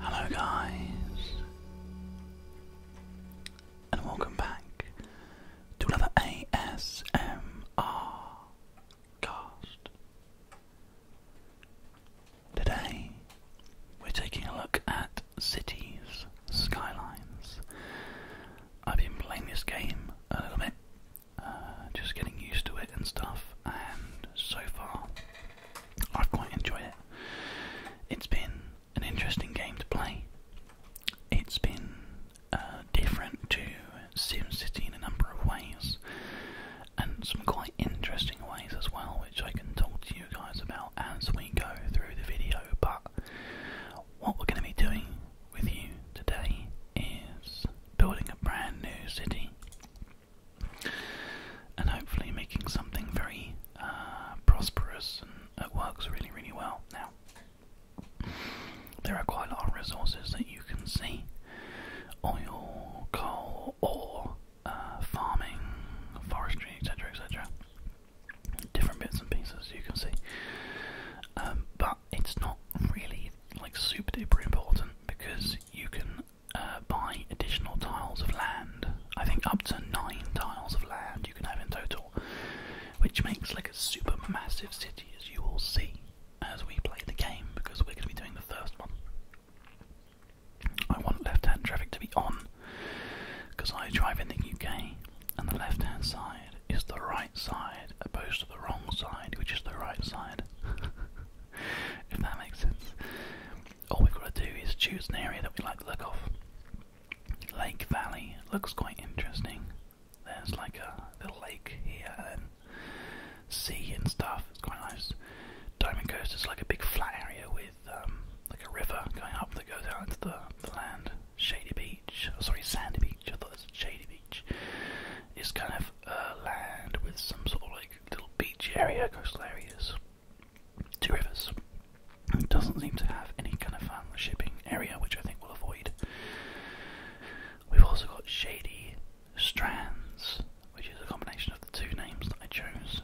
Hello, guys, and welcome back to another ASMR cast. Today, we're taking a look at cities, skylines. I've been playing this game a little bit, uh, just getting used to it and stuff, and so far I've quite enjoyed it. It's been an interesting game to play. It's been uh, different to SimCity in a number of ways, and some quite interesting ways as well which I can talk to you guys about as we go through the video. But what we're going to be doing with you today is building a brand new city and hopefully making something very uh, prosperous and works really, really well. Now, there are quite a lot of resources that you can see oil, coal, ore, uh, farming, forestry, etc. etc different bits and pieces, as you can see. Um, but it's not really like super duper important because you can uh, buy additional tiles of land. I think up to nine tiles of land you can have in total, which makes like a super massive city, as you will see as we play the game, because we're going to be doing the first one. I want left-hand traffic to be on because I drive in the UK, and the left hand side is the right side, opposed to the wrong side, which is the right side. if that makes sense. All we've got to do is choose an area that we like to look off. Lake Valley looks quite interesting. There's like a little lake here and sea and stuff. It's quite nice. Diamond Coast is like a big flat area with um, like a river going up that goes out into the, land. Shady Beach, oh, sorry, Sandy Beach. I thought it was Shady Beach. It's kind of uh, land with some sort of like little beach area, coastal areas, two rivers. It doesn't seem to have any kind of shipping area, which I think we'll avoid. We've also got Shady Strands, which is a combination of the two names that I chose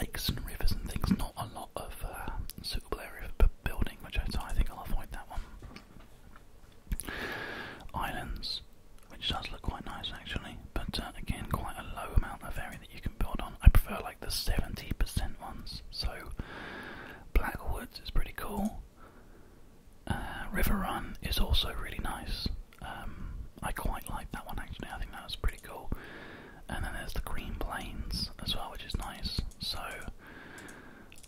lakes and rivers and things. Not a lot of uh, suitable area for building, which I, think I'll avoid that one. Islands, which does look quite nice actually, but uh, again, quite a low amount of area that you can build on. I prefer like the 70% ones. So Black Woods is pretty cool. Uh, River Run is also really nice. Um, I quite like that one actually. I think that was pretty cool and then there's the green plains as well, which is nice. So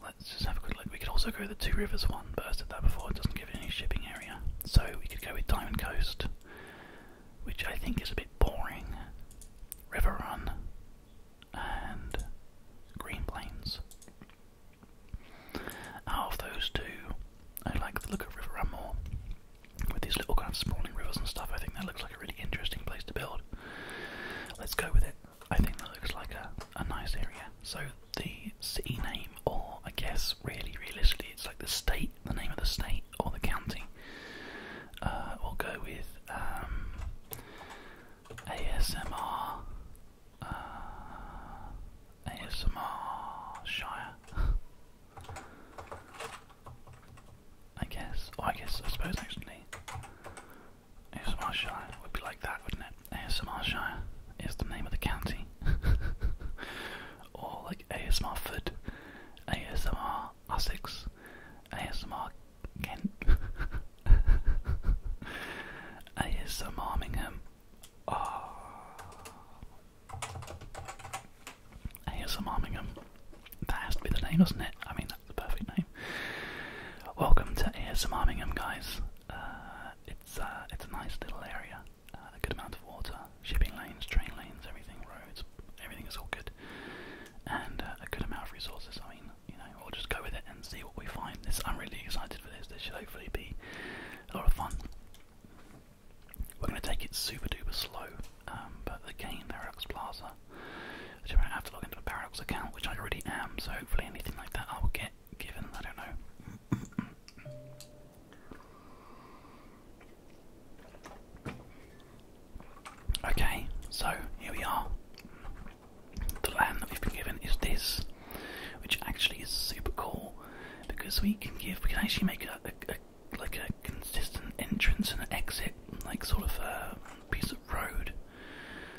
let's just have a good look. We could also go the Two Rivers one, but I said that before, it doesn't give any shipping area. So we could go with Diamond Coast, which I think is a bit boring. River Run and Green Plains. Out of those two, I like the look of River Run more with these little kind of spawning rivers and stuff. I think that looks like a really interesting place to build. Let's go with it. I think that looks like a, nice area. So the city name, or I guess really realistically, it's like the state, the name of the state or the county. Uh, we'll go with um, ASMR. Uh, ASMR Shire. I guess. I guess, I suppose actually, ASMR Shire would be like that, wouldn't it? ASMR Shire is the name of the county. or like ASMR ASMR Sussex, ASMR Kent, ASMR Armingham. Oh, ah. ASM Armingham. That has to be the name, doesn't it? I mean, that's the perfect name. Welcome to ASM Armingham, guys. Uh, it's uh, it's a nice little area. Uh, a good amount of water, shipping lanes, train lanes, everything, roads, everything is all good, and a good amount of resources. I mean, you know, we'll just go with it and see what we find. This I'm really excited for this. This should hopefully be a lot of fun. We're going to take it super duper slow, um, but again, Paradox Plaza. I am going to have to log into a Paradox account, which I already am, so hopefully anything like that I will get given. I don't know. Okay, so here we are. The land that we've been given is this, which actually is super cool because we can give, we can actually make a like a consistent entrance and exit, like sort of a piece of road.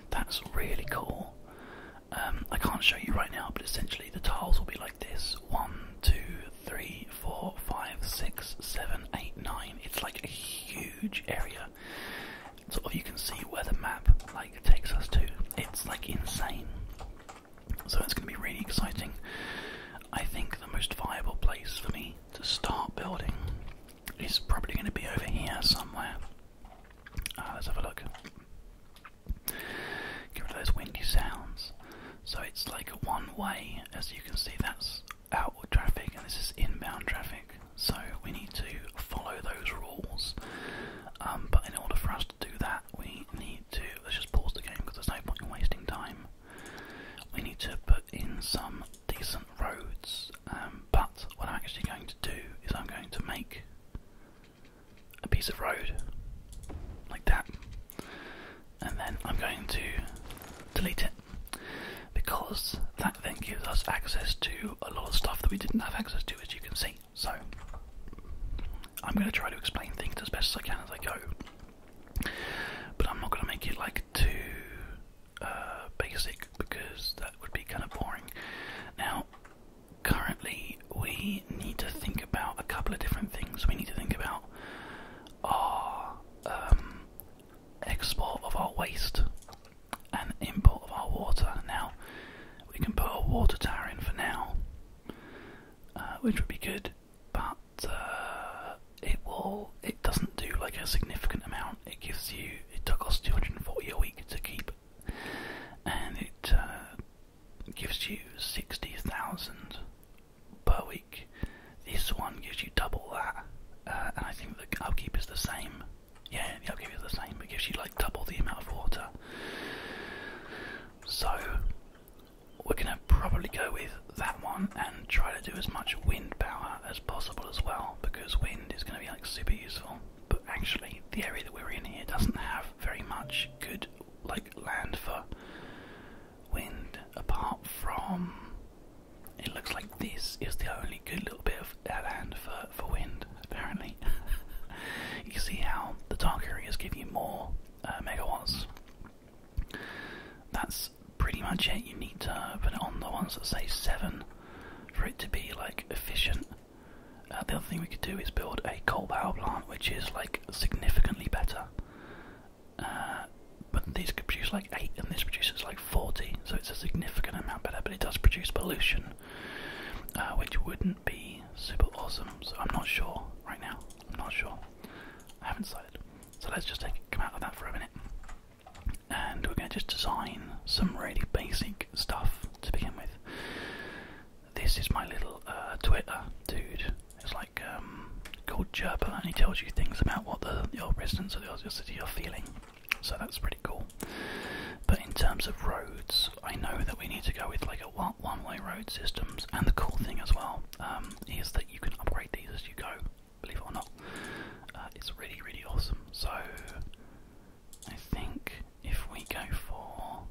That's really cool. Um, I can't show you right now, but essentially the tiles will be like this: one, two, three, four, five, six, seven, eight, nine. It's like a huge area. So you can see where the map like takes us to. It's like insane. So it's going to be really exciting. I think the most viable place for me to start building is probably going to be over here somewhere. Ah, let's have a look. Get rid those windy sounds. So it's like one way, as you can see, that's outward traffic and this is inbound traffic. So we need to follow those rules. Um, but in order for us to do that, we need to. Let's just pause the game because there's no point in wasting time we need to put in some decent roads. Um, but what I'm actually going to do is I'm going to make a piece of road like that, and then I'm going to delete it because that then gives us access to a lot of stuff that we didn't have access to, as you can see. So I'm going to try to explain things as best as I can as I go. But I'm not going to make it like too uh, basic because that would be kind of boring. Now, currently, we need to think about a couple of different things. We need to think about our um, export of our waste and import of our water. Now, we can put a water tower in for now, uh, which would be good, but uh, it will it doesn't do like a significant amount. It gives you it costs two hundred and forty a week to keep, and it uh, gives you sixty thousand per week. This one gives you double that, uh, and I think the upkeep is the same. Yeah, the upkeep is the same. It gives you like double the amount of water. So we're going to probably go with that one and try to do as much wind power as possible as well because wind is going to be like super useful. But actually, the area that we're in here doesn't have very much good like land for wind apart from it looks like this is the only good little bit of land for, for wind apparently. you can see how the dark areas give you more uh, megawatts that's pretty much it. You need to put on the ones that say 7 for it to be like efficient. Uh, the other thing we could do is build a coal power plant, which is like significantly better. Uh, but these could like 8 and this produces like 40, so it's a significant amount better, but it does produce pollution, uh, which wouldn't be super awesome. So I'm not sure right now. I'm not sure. I haven't decided. So let's just come out of that for a minute. And we're going to just design some really basic stuff to begin with. This is my little uh, Twitter dude. It's like um, called Jerper, and he tells you things about what the, the residents of the city are feeling. So that's pretty cool. But in terms of roads, I know that we need to go with like a one-way road systems. And the cool thing as well um, is that you can upgrade these as you go, believe it or not. Uh, it's really, really awesome. So, I think if we go for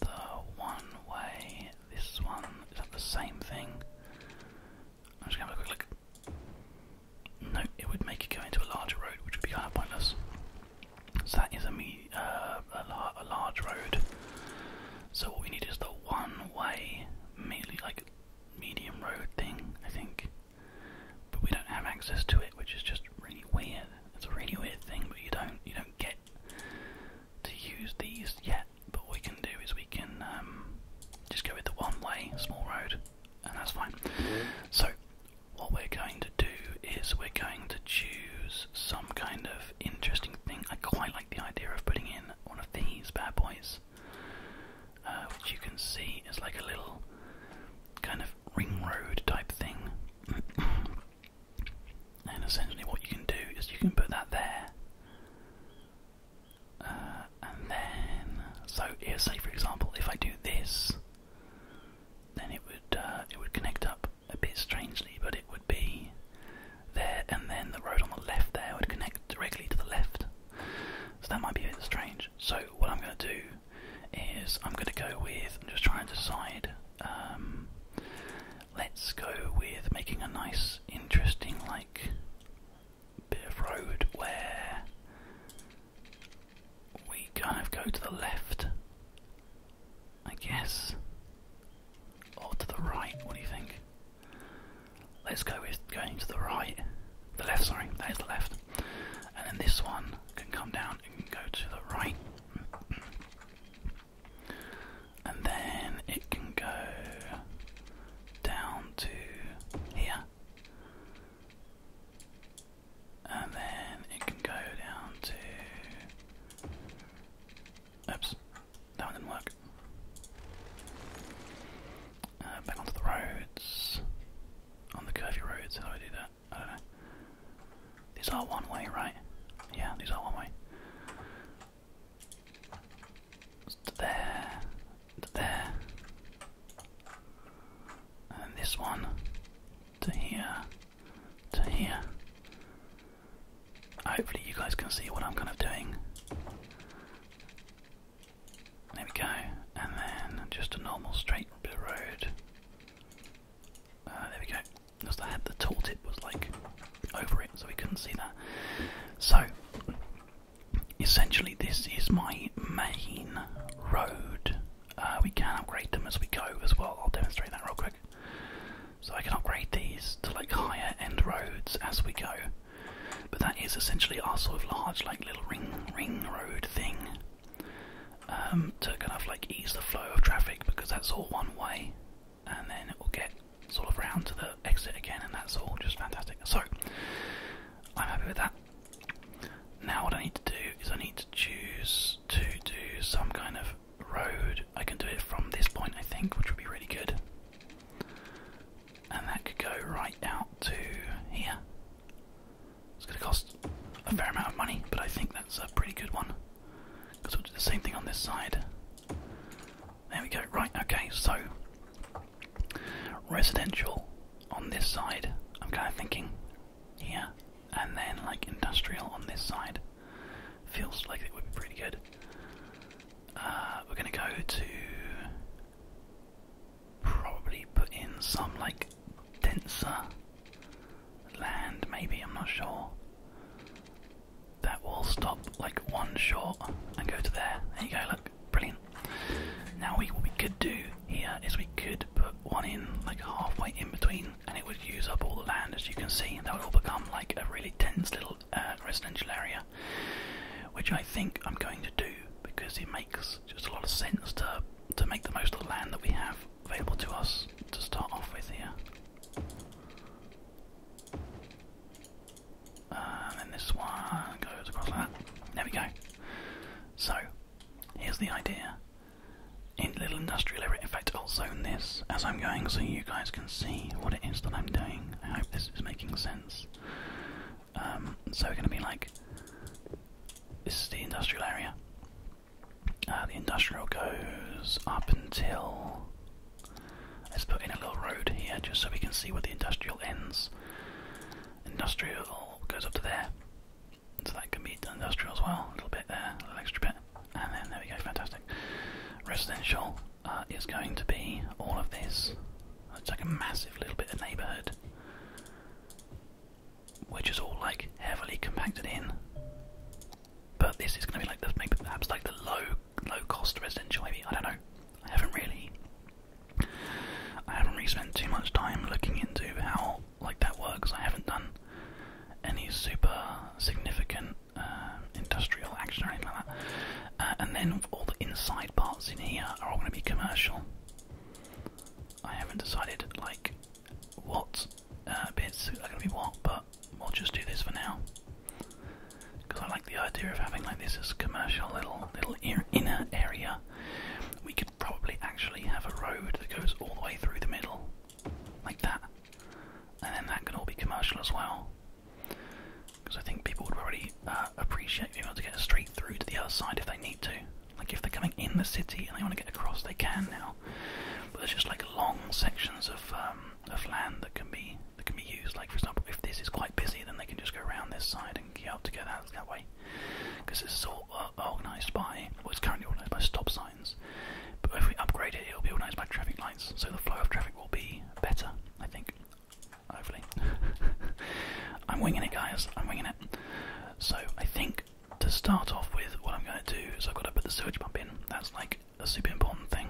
the one way, this one, is that the same thing? I'm just gonna have a quick look. No, it would make it go into a larger road, which would be kind of pointless. So that is a, me uh, a large road. So what we need is the one-way, merely like medium road thing, I think. But we don't have access to it, which is just really weird. It's a really weird thing, but you don't you don't get to use these yet. But what we can do is we can um, just go with the one-way small road, and that's fine. So what we're going to do is we're going to choose some kind of interesting thing. I quite like the idea of putting in in one of these bad boys, uh, which you can see is like a little kind of ring road type thing. and essentially, what you can do is you can put that there, uh, and then so here, say for example, if I do this, then it would uh, it would connect up a bit strangely, but would be there, and then the road on the left there would connect directly to the left. So that might be a bit strange. So what I'm going to do is I'm going to go with. i just try and decide. Um, let's go with making a nice, interesting like bit of road where we kind of go to the left, I guess, or to the right. What do you think? Let's go with going to the right, the left, sorry, that is the left. And then this one can come down and go to the right. And then it can go down to here. And then it can go down to Oops, that one didn't work. Uh, back onto the roads. On the curvy roads, how do I do that? I don't know. These are one way, right? Yeah, these are one way. To there, to there, and this one to here, to here, Hopefully you guys can see what I'm kind of doing. There we go, and then just a normal straight road. Uh, there we go. Because had the tooltip was like over it, so we couldn't see that. So essentially, this is my main road. Uh, we can upgrade them as we go as well. I'll demonstrate that real quick. So I can upgrade these to like higher end roads as we go. But that is essentially our sort of large like little ring ring road thing. Um, to kind of like ease the flow of traffic because that's all one way and then it will get sort of round to the exit again and that's all just fantastic. So I'm happy with that. Now what I need to do is I need to choose to do some kind of road I can do it from this point I think, which would be really good. And that could go right out to here. It's going to cost a fair amount of money, but I think that's a pretty good one. Because we'll do the same thing on this side. There we go. Right, okay, so residential on this side, I'm kind of thinking here, and then like industrial on this side. Feels like it would be pretty good. Uh, we're gonna go to probably put in some like denser land, maybe, I'm not sure. That will stop like one short and go to there. There you go, look, brilliant. Now we what we could do here is we could put one in like halfway in between and it would use up all the land as you can see and that would all become like a really dense little uh, residential area which I think I'm going to do because it makes just a lot of sense to to make the most of the land that we have available to us to start off with here. Uh, and this one goes across that. There we go. So, here's the idea. In little industrial area, in fact, I'll zone this as I'm going so you guys can see what it is that I'm doing. I hope this is making sense. Um, so we're going to be like, this is the industrial area. Uh, the industrial goes up until. Let's put in a little road here just so we can see where the industrial ends. Industrial goes up to there. So that can be industrial as well, a little bit there, a little extra bit. And then there we go, fantastic. Residential uh, is going to be all of this. It's like a massive little bit of neighbourhood, which is all like heavily compacted in. But this is going to be like the, maybe perhaps like the low low cost residential. Maybe I don't know. I haven't really. I haven't really spent too much time looking into how like that works. I haven't done any super significant uh, industrial action or anything like that. Uh, and then all the inside parts in here are all going to be commercial. I haven't decided like what uh, bits are going to be what, but we'll just do this for now because I like the idea of having like this as commercial little little inner area. We could probably actually have a road that goes all the way through the middle, like that, and then that could all be commercial as well. Because I think people would already uh, appreciate being able to get a straight through to the other side if they need to. Like if they're coming in the city and they want to get across, they can now. But there's just like long sections of um, of land that can be that can be used. Like for example, if this is quite busy, then they can just go around this side and get out to get that that way. Because it's all uh, organised by what's currently organised by stop signs. But if we upgrade it, it'll be organised by traffic lights, so the flow of traffic will be better, I think. Hopefully. I'm winging it, guys. I'm winging it. So, I think to start off with, what I'm going to do is I've got to put the sewage pump in. That's like a super important thing.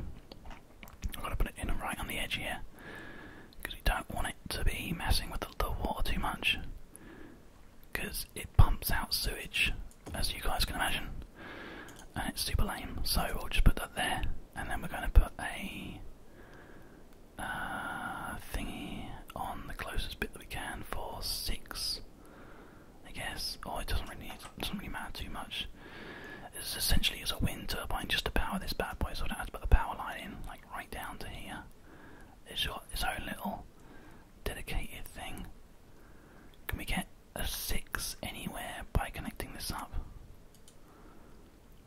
I've got to put it in right on the edge here. Because we don't want it to be messing with the, the water too much. Because it pumps out sewage, as you guys can imagine and it's super lame. So we'll just put that there, and then we're going to put a uh, thingy on the closest bit that we can for six, I guess. oh, it doesn't really doesn't really matter too much. It's essentially as a wind turbine just to power this bad boy, so I don't have to put the power line in like right down to here. It's got its own little dedicated thing. Can we get a 6 anywhere by connecting this up?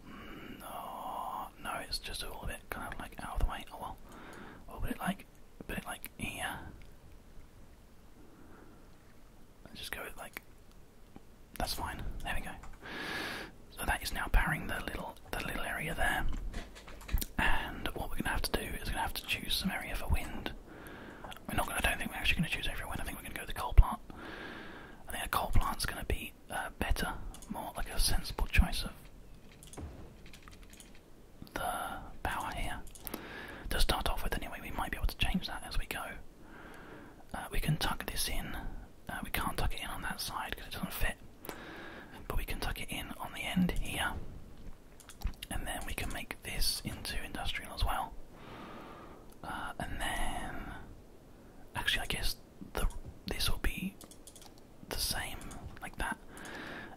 No, no, it's just a little bit kind of like out the way. Oh, well. Oh, but it like, but it like here. Let's just go like. That's fine. There we go. So that is now powering the little the little area there. And what we're gonna have to do is gonna have to choose some area for wind. We're not. Gonna, I don't think we're actually going to choose everyone. I think we're going to go with the coal plant. I think a coal plant's going to be uh, better, more like a sensible choice of the power here. To start off with, anyway, we might be able to change that as we go. Uh, we can tuck this in. Uh, we can't tuck it in on that side because it doesn't fit. But we can tuck it in on the end here. And then we can make this into industrial as well. Uh, and then, actually, I guess this will be the same like that,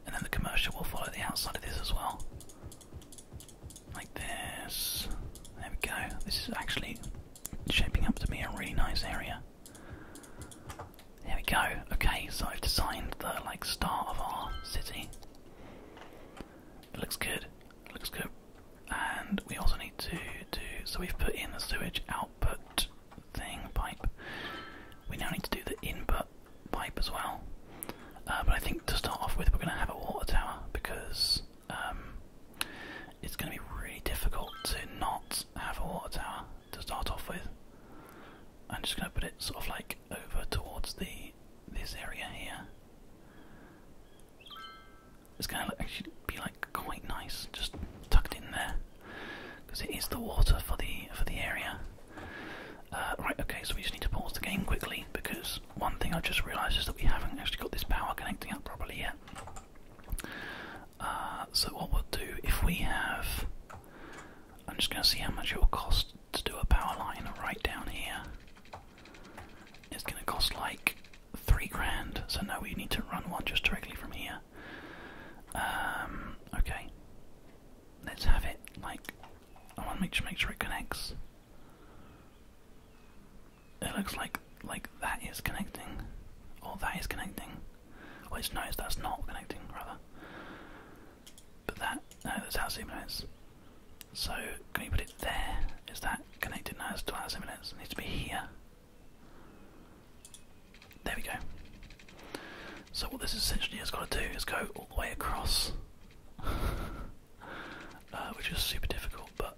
and then the commercial will follow the outside of this as well, like this. There we go. This is actually shaping up to be a really nice area. There we go. Okay, so I've designed the like start of our city. looks good. looks good. And we also need to do so we've put in the sewage output thing pipe. We now need to do the input pipe as well. Uh, but I think to start off with, we're going to have a water tower because um, it's going to be really difficult to not have a water tower to start off with. I'm just going to put it sort of like over towards the this area here. It's going to actually be like quite nice, just tucked in there, because it is the water for the for the area. Uh, right, okay, so we just need to pause the game quickly because one thing I have just realised is that we haven't actually got this power connecting up properly yet. Uh, so what we'll do if we have, I'm just going to see how much it will cost to do a power line right down here. It's going to cost like three grand, so now we need to run one just directly from here. Um, okay. Let's have it, like, I want to make sure, it connects. It looks like, like that is connecting, Oh, that is connecting. Well, it's no, that's not connecting, rather. But that, no, that's how it is. So, can you put it there? Is that connected? No, it's still needs to be here. There we go. So, what this essentially has got to do is go all the way across, uh, which is super difficult, but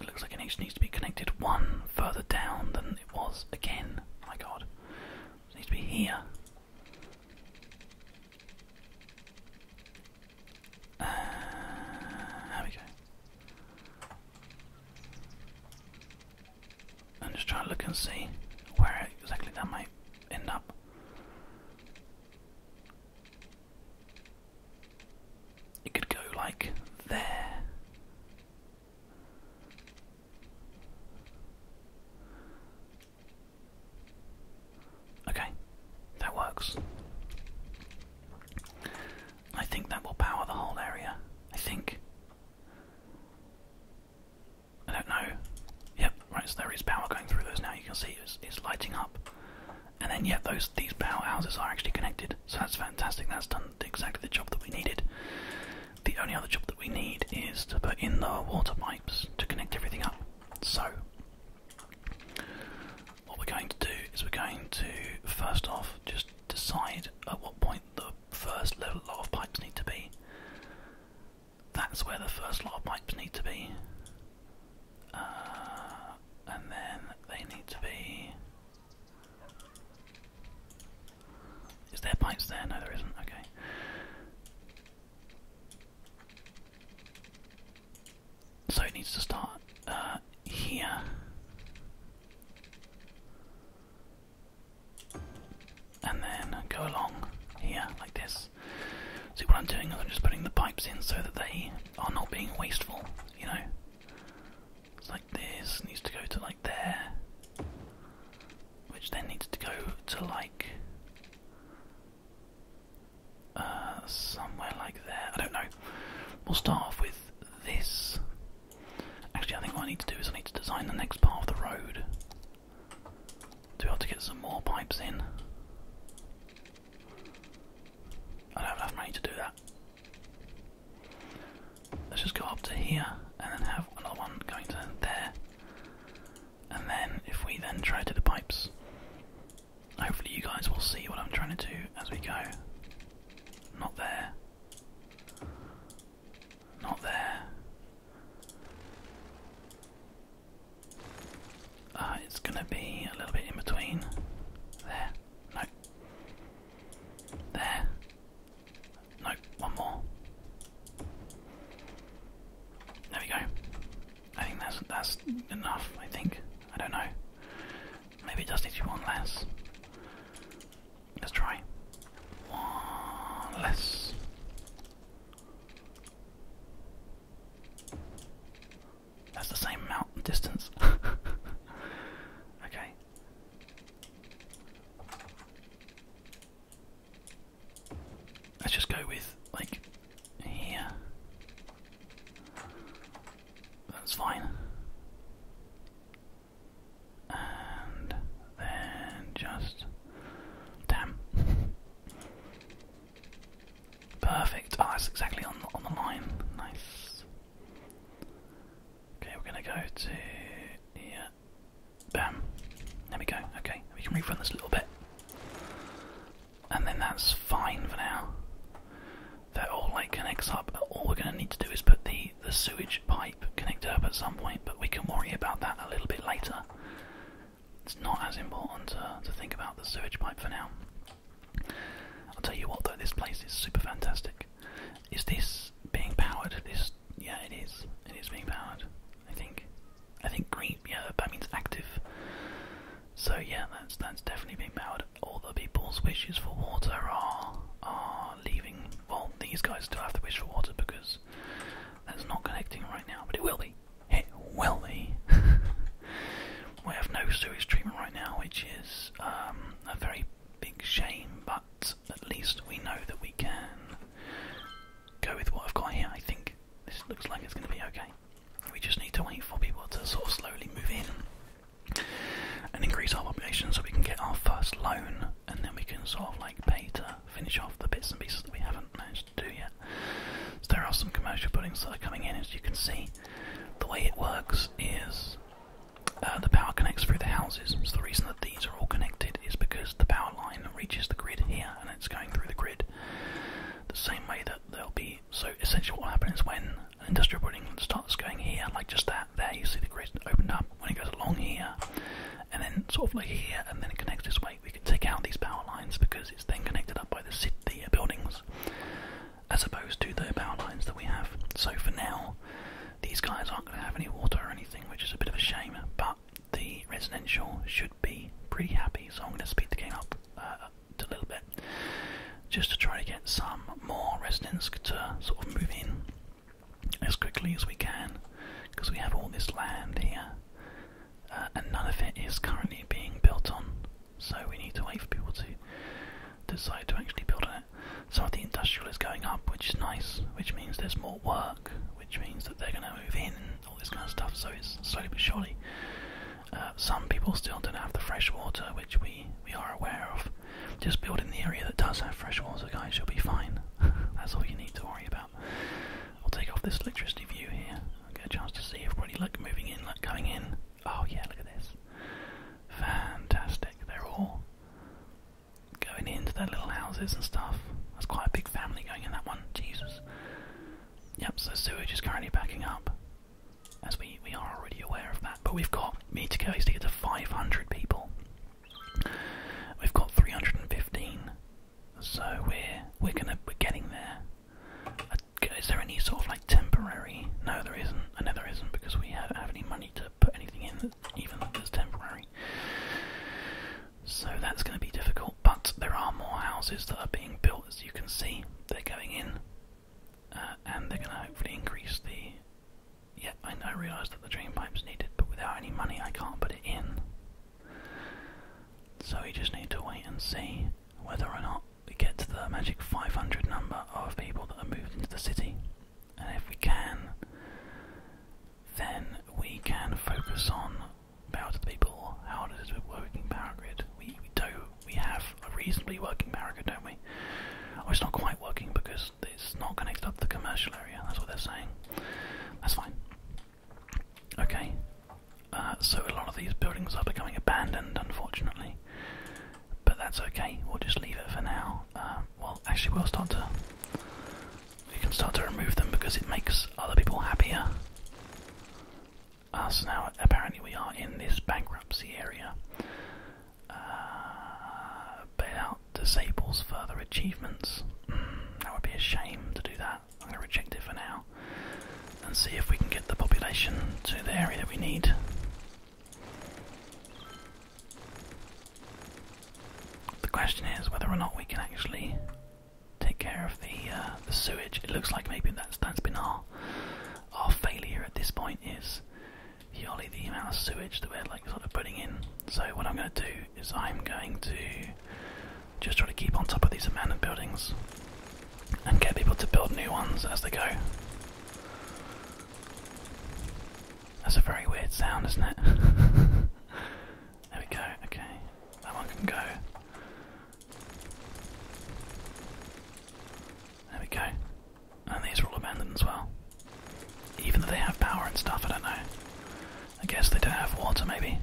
it looks like an H needs to be connected one further down than it was again. Oh my god. needs to be here there uh, we go. I'm just trying to look and see where exactly that might end up. It could go like there. Okay, that works. I think that will power the whole area. I think. I don't know. Yep, right, so there is power going through those now. You can see it's, lighting up. And then, yet those, these power houses are actually connected. So that's fantastic. That's done exactly the job that we needed. The only other job that we need is to put in the water pipes to connect everything up. So, what we're going to do is we're going to first off just decide at what point the first level of pipes need to be. That's where the first lot of pipes need to be. Uh, and then they need to be. Is there pipes there? No, there isn't. Okay. So it needs to start uh, here. And then go along here like this. See what I'm doing is I'm just putting the pipes in so that they are not being wasteful, you know. like this, needs to go to like there. Which then needs to go to like uh, somewhere like there. I don't know. We'll start off with this. Actually, I think what I need to do is I need to design the next part of the road to be able to get some more pipes in. I don't have money to do that. Let's just go up to here and then have another one going to there. And then, if we then try to do the pipes, Hopefully, you guys will see what I'm trying to do as we go. Not there. Not there. Uh, it's gonna be a little bit in between. There. No. There. No. One more. There we go. I think that's that's enough. I think. I don't know. Maybe it just needs to one less. Let's try. One less. That's the same amount distance. okay. Let's just go with like here. That's fine. And then just. Damn. Perfect. oh, that's exactly on the, on the line. Nice. Okay, we're gonna go to. Yeah. Bam. There we go. Okay, we can rerun this a little bit and then that's fine for now. That all like connects up. All we're going to need to do is put the the sewage pipe connected up at some point, but we can worry about that a little bit later. It's not as important to, to think about the sewage pipe for now. I'll tell you what though, this place is super fantastic. Is this being powered? This yeah, it is. It is being powered. I think. I think green, yeah, that means active. So yeah, that's that's definitely being powered. All the people's wishes for water are are leaving. Well, these guys still have to wish for water because that's not connecting right now, but it will be. It will be. we have no sewage treatment right now, which is um, a very big shame, but at least we know that we can go with what I've got here. I think this looks like it's going to be okay. We just need to wait for people to sort of slowly move in and increase our population so we can get our first loan and then we can sort of like pay to finish off the bits and pieces that we haven't managed to do yet. So there are some commercial buildings that are coming in as you can see. The way it works is uh, the power connects through the houses, so the reason that these are all connected is because the power line reaches the grid here and it's going through the grid. The same way that they will be so essentially what will happen is when an industrial building starts going here, like just that there, you see the grid opened up when it goes along here, and then sort of like here, and then it connects this way. We can take out these power lines because it's then connected up by the city the buildings, as opposed to the power lines that we have. So for now, these guys aren't going to have any water or anything, which is a bit of a shame. But the residential should be pretty happy. So I'm going to speed the game up. Uh, a little bit just to try to get some more residents to sort of move in as quickly as we can because we have all this land here uh, and none of it is currently being built on so we need to wait for people to decide to actually build on it. Some of the industrial is going up which is nice which means there's more work which means that they're going to move in and all this kind of stuff so it's slowly but surely uh, some people still don't have the fresh water, which we, we are aware of. Just building the area that does have fresh water, guys, you'll be fine. That's all you need to worry about. I'll take off this electricity view here. i get a chance to see everybody like moving in, like coming in. Oh yeah, look at this. Fantastic. They're all going into their little houses and stuff. That's quite a big family going in that one. Jesus. Yep, so sewage is currently backing up as we, we are already aware of that. But we've got we need to to get to 500 people. We've got 315, so we're we're gonna we're getting there. Uh, is there any sort of like temporary? No, there isn't. I uh, know there isn't because we haven't have any money to put anything in, even though that's temporary. So that's going to be difficult but there are more houses that are being built, as you can see. They're going in, uh, and they're going to hopefully increase the. Yeah, I, realise that the drain pipe's needed, but without any money, I can't put it in. So we just need to wait and see whether or not we get to the magic 500 number of people that are moved into the city. And if we can, then we can focus on power to the people. How does it work in power grid? We, we do. We have a reasonably working power grid, don't we? it's not quite working because it's not connected up to the commercial area. That's what they're saying. That's fine. Okay. Uh, so a lot of these buildings are becoming abandoned, unfortunately. But that's okay. We'll just leave it for now. Uh, well, actually, we'll start to. We can start to remove them because it makes other people happier. Uh, now apparently we are in this bankruptcy area. Uh, bailout disables further achievements. Hmm, that would be a shame to do that. I'm going to reject it for now and see if we can get the population to the area that we need. The question is whether or not we can actually take care of the uh, the sewage. It looks like maybe that's been our our failure at this point is purely the amount of sewage that we're like sort of putting in. So what I'm going to do is I'm going to just try to keep on top of these abandoned buildings and get people to build new ones as they go. That's a very weird sound, isn't it? there we go. Okay, that one can go. There we go. And these are all abandoned as well. Even though they have power and stuff, I don't know. I guess they don't have water, maybe.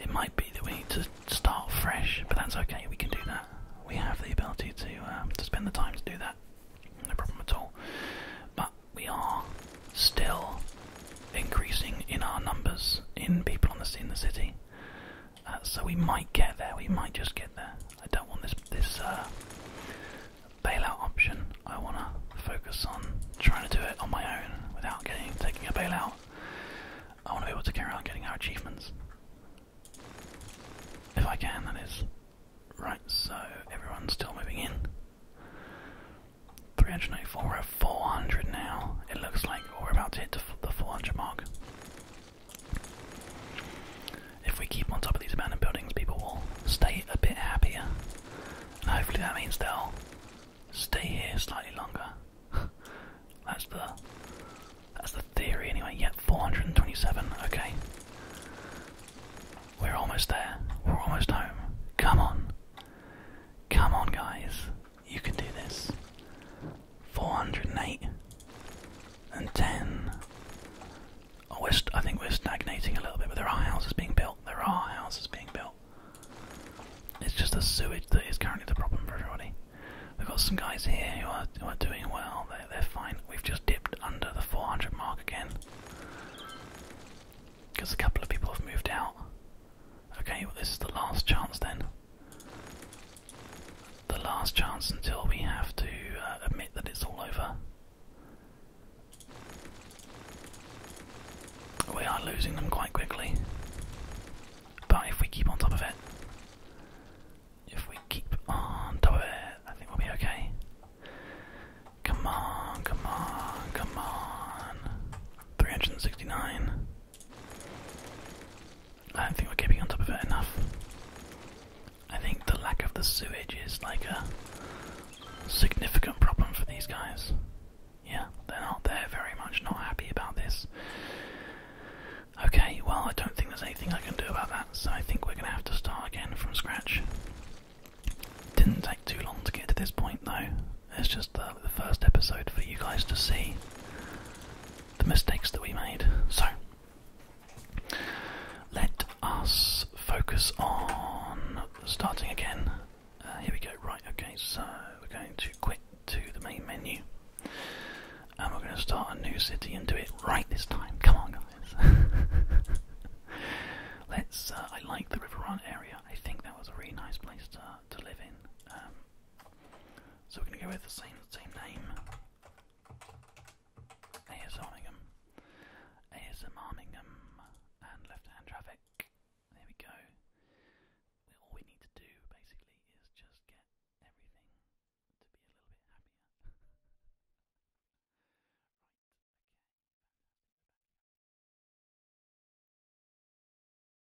It might be that we need to start fresh, but that's okay, we can do that. We have the ability to, um, to spend the time to do that. No problem at all. But we are still increasing in our numbers in people on the scene in the city. Uh, so we might get there. We might just get there. I don't want this this uh, bailout option. I want to focus on trying to do it on my own without getting taking a bailout. I want to be able to carry on getting our achievements if I can. That is right. So everyone's still moving in. 384 400 now. It looks like we're about to hit the 400 mark. If we keep on top of these abandoned buildings, people will stay a bit happier. hopefully that means they'll stay here slightly longer. that's the that's the theory anyway. Yep, 427. Okay. We're almost there. We're almost home. Come on. Come on, guys. You can do this. 408 and 10. Oh, we're st I think we're stagnating a little bit, but there are houses being built. There are houses being built. It's just the sewage that is currently the problem for everybody. We've got some guys here who are, doing well. they're fine. We've just dipped under the 400 mark again. Because a couple of people have moved out. Okay, this is the last chance then. The last chance until we have to uh, admit that it's all over. We are losing them quite quickly. But if we keep on top of it, if we keep on top of it, I think we'll be okay. Come on, come on, come on. 369. I don't think we're keeping on top of it enough. I think the lack of the sewage is like a significant problem for these guys. Yeah, they're not they're very much not happy about this. Okay, well I don't think there's anything I can do about that, so I think we're gonna have to start again from scratch. Didn't take too long to get to this point though. It's just the, first episode for you guys to see the mistakes that we made. So, let us focus on starting again. Uh, here we go, right, okay, so we're going to quit to the main menu. And we're going to start a new city and do it right this time. Come on, guys. Let's. Uh, I like the River Run area. I think that was a really nice place to to live in. Um, so we're gonna go with the same same name. AS Armingham. and left hand traffic. There we go. All we need to do basically is just get everything to be a little bit happier. right, okay.